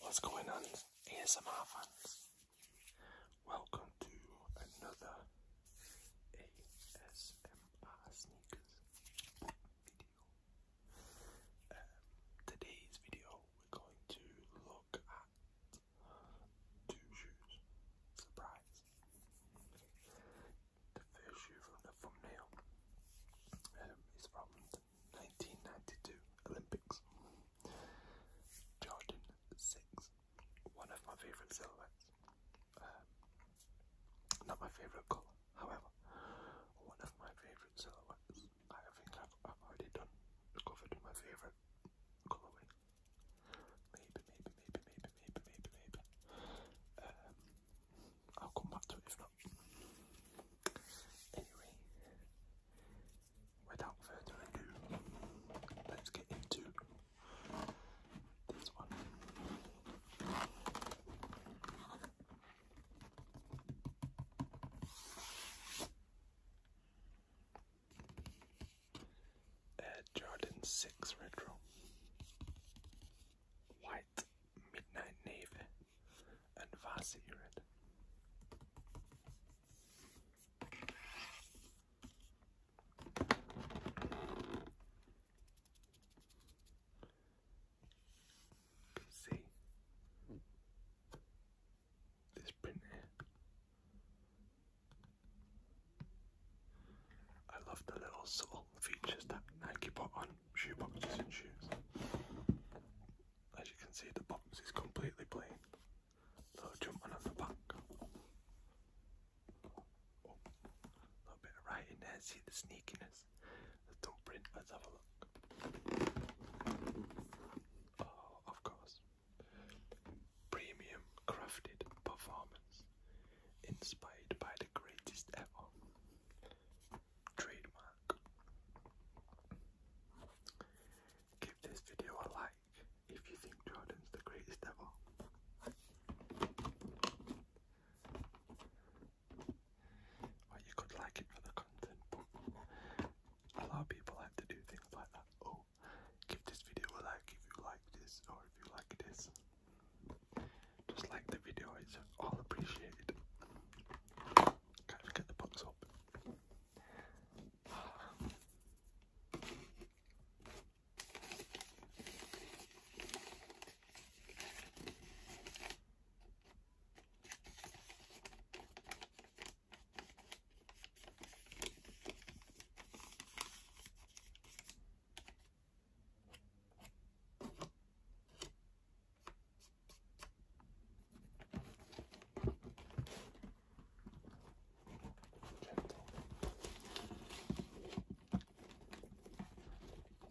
What's going on, ASMR fans? Welcome to another ASMR sneakers video. Um, today's video, we're going to look at two shoes. Surprise! The first shoe from the thumbnail um, is from 1992 Olympics. Jordan 6, one of my favourite silhouettes. Um, not my favourite colour, however, one of my favourite silhouettes. I think I've, already done already done, to my favourite colourway. maybe, maybe, maybe, maybe, maybe, maybe. Um, I'll come back to it if not. Anyway, without further ado, let's get into this one. Air Jordan 6 Retro White Midnight Navy and Vasirid. See this print I love the little sort features that Nike put on shoe boxes and shoes. As you can see, the box is completely plain. Little jumping on the back. Oh, little bit of writing there. See the sneakiness. Let's have a look. Oh, of course. Premium crafted performance. Inspired by the greatest ever trademark. Give this video a like if you think Jordan's the greatest ever. Well, you could like it for the content, a lot of people like to do things like that. Oh, give this video a like if you like this, or if you like this just like the video, is all appreciated. Can't forget the box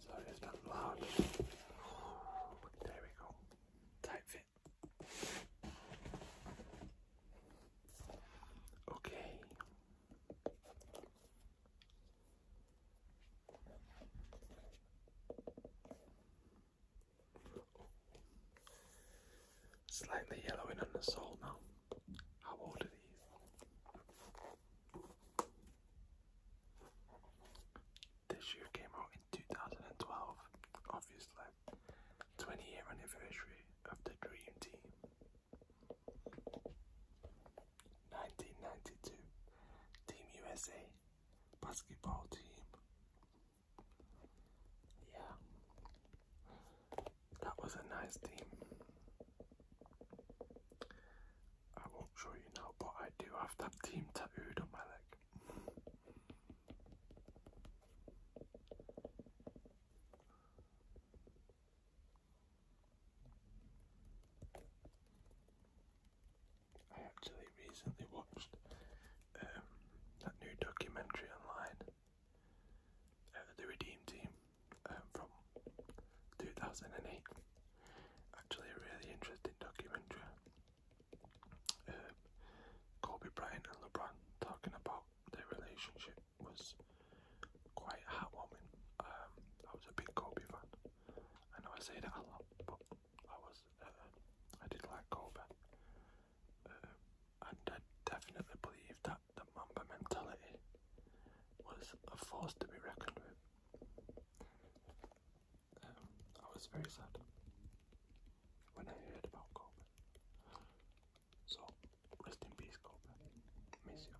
Sorry, it's not loud. There we go. Tight fit. Okay, Slightly yellowing on the sole now. How old are these? This shoe came out in 2012, obviously. 20 year anniversary of the Dream Team. 1992 Team USA basketball team. Yeah, that was a nice team. I won't show you now, but I do have that team tattooed on my leg. I actually recently watched um, that new documentary online, uh, The Redeem Team um, from 2008. Actually, a really interesting documentary. Uh, Kobe Bryant and LeBron talking about their relationship was quite heartwarming. Um, I was a big Kobe fan. I know I say that a lot, but I was uh, I did like Kobe, uh, and I definitely believe that the Mamba mentality was a force to be reckoned with. Um, I was very sad when I heard about Kobe. So, rest in peace, Cobra. Miss you.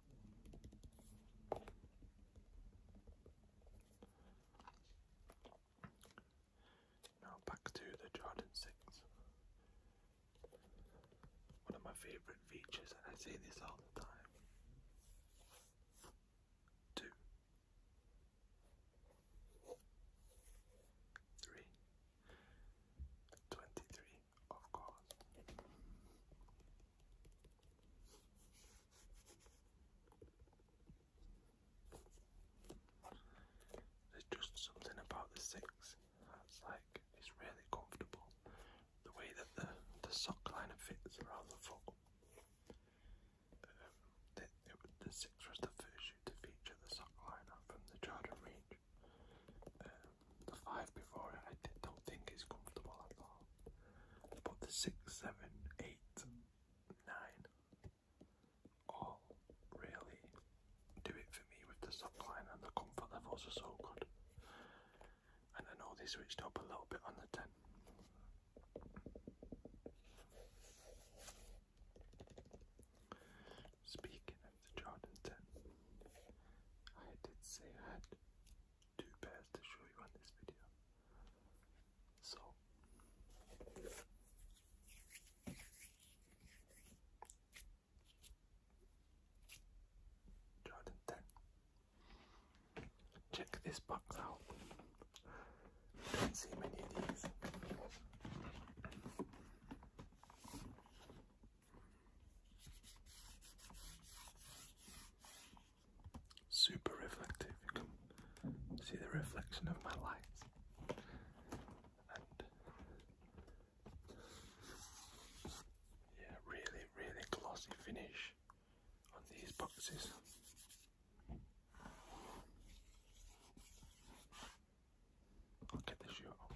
Now back to the Jordan 6. One of my favourite features, I say this all the time. Two, three, Twenty-three, of course. There's just something about the six that's like it's really comfortable. The way that the the sock liner fits around the foot. Um, the, six was the first to feature the sock liner from the Jordan range. Um, the five before it, I don't think is comfortable at all. But the six, seven, eight, nine, all really do it for me with the subline and the comfort levels are so good. And I know they switched up a little bit on the ten. Speaking of the Jordan 10, I did say I had two pairs to show you on this video. So, Jordan 10. Check this box out see Super reflective. see the reflection of my light. And yeah, really, really glossy finish on these boxes. I'll get the shoe off.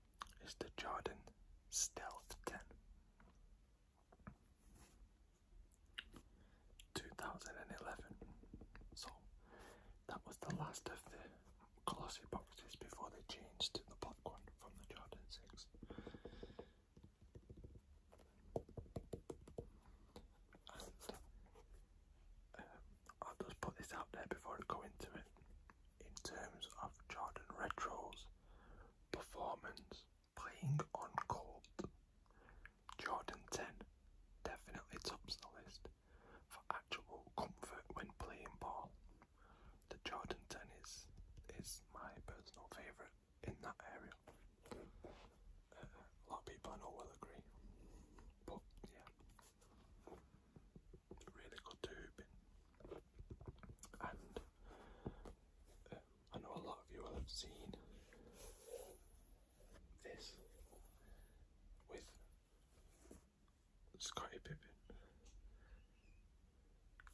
is the Jordan Stealth 10. So that was the last of the glossy boxes before they changed to the black one from the Jordan 6. Um, I'll just put this out there before I go into it in terms of Jordan Retro's performance playing on court. Jordan 10 definitely tops the list for actual comfort when playing ball. The Jordan 10 is, is my personal favourite in that area. Uh, a lot of people I know will agree. But yeah really good to And um, I know a lot of you will have seen this with Scotty Pippen,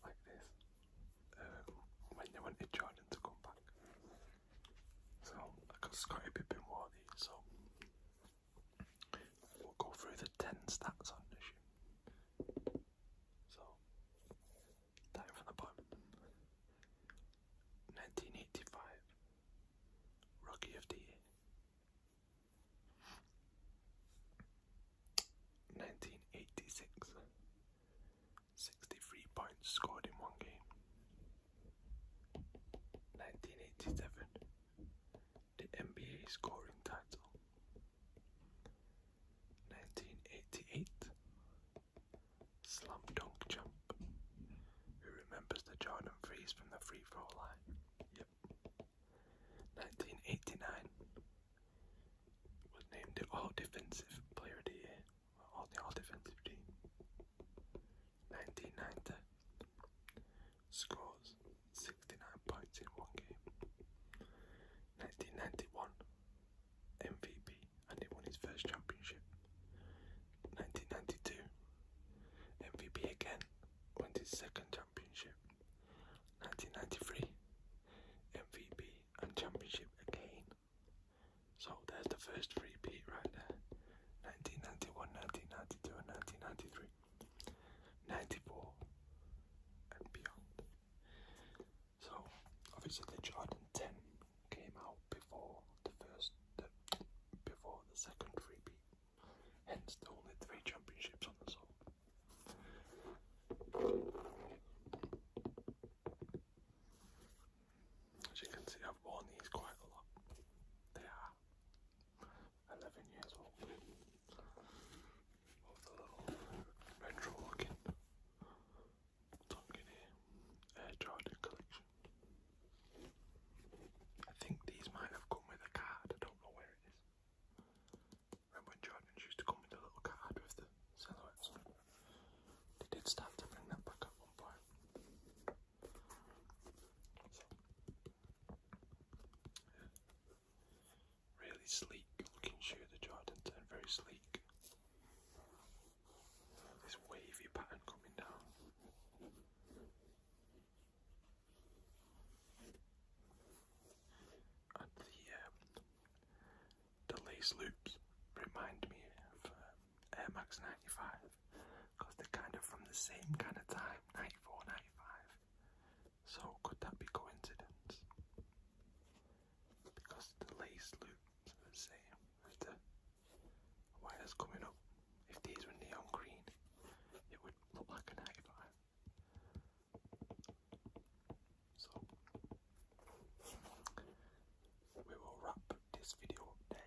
like this, um, when they wanted Jordan to come back. So, because Scotty Pippen wore so We'll go through the 10 stats on this year. So, starting from the bottom 1985, Rookie of the Year. 1986, 63 points scored in one game. 1987, the NBA scoring title. 1988 Slum Dunk Jump. Who remembers the Jordan freeze from the free throw line? Yep. 1989 was named the All Defensive Player of the Year, or All Defensive Team. 1990 scores 69 points in one game. 1991 MVP and he won his first championship. 1992 MVP again, went his second championship. 1993 MVP and championship again. So there's the first repeat right there. 1991, 1992, 1993, 94, and beyond. So, obviously, the Jordan 10 came out before the first, before the second repeat, hence the only three championships on the soul. As you can see, I've worn these quite a lot. They are 11 years old. With the little retro looking Donkey Jordan collection. I think these might have come with a card, I don't know where it is. Remember when used to come with a little card with the silhouettes? They did start to bring that back at one point. Really sleek looking shoe, the Jordan 10, very sleek. This wavy pattern coming down. And the, um, the lace loops remind me of um, Air Max 95 because they're kind of from the same kind of time 94 95 so could that be coincidence because the lace loops are the same as the wires coming up if these were neon green it would look like a 95 so we will wrap this video than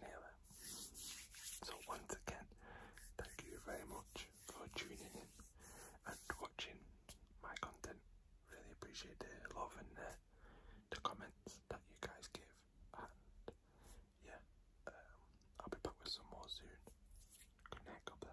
never. So once again, thank you very much for tuning in and watching my content. Really appreciate the love and uh, the, comments that you guys give. And yeah, um, I'll be back with some more soon. Good night, God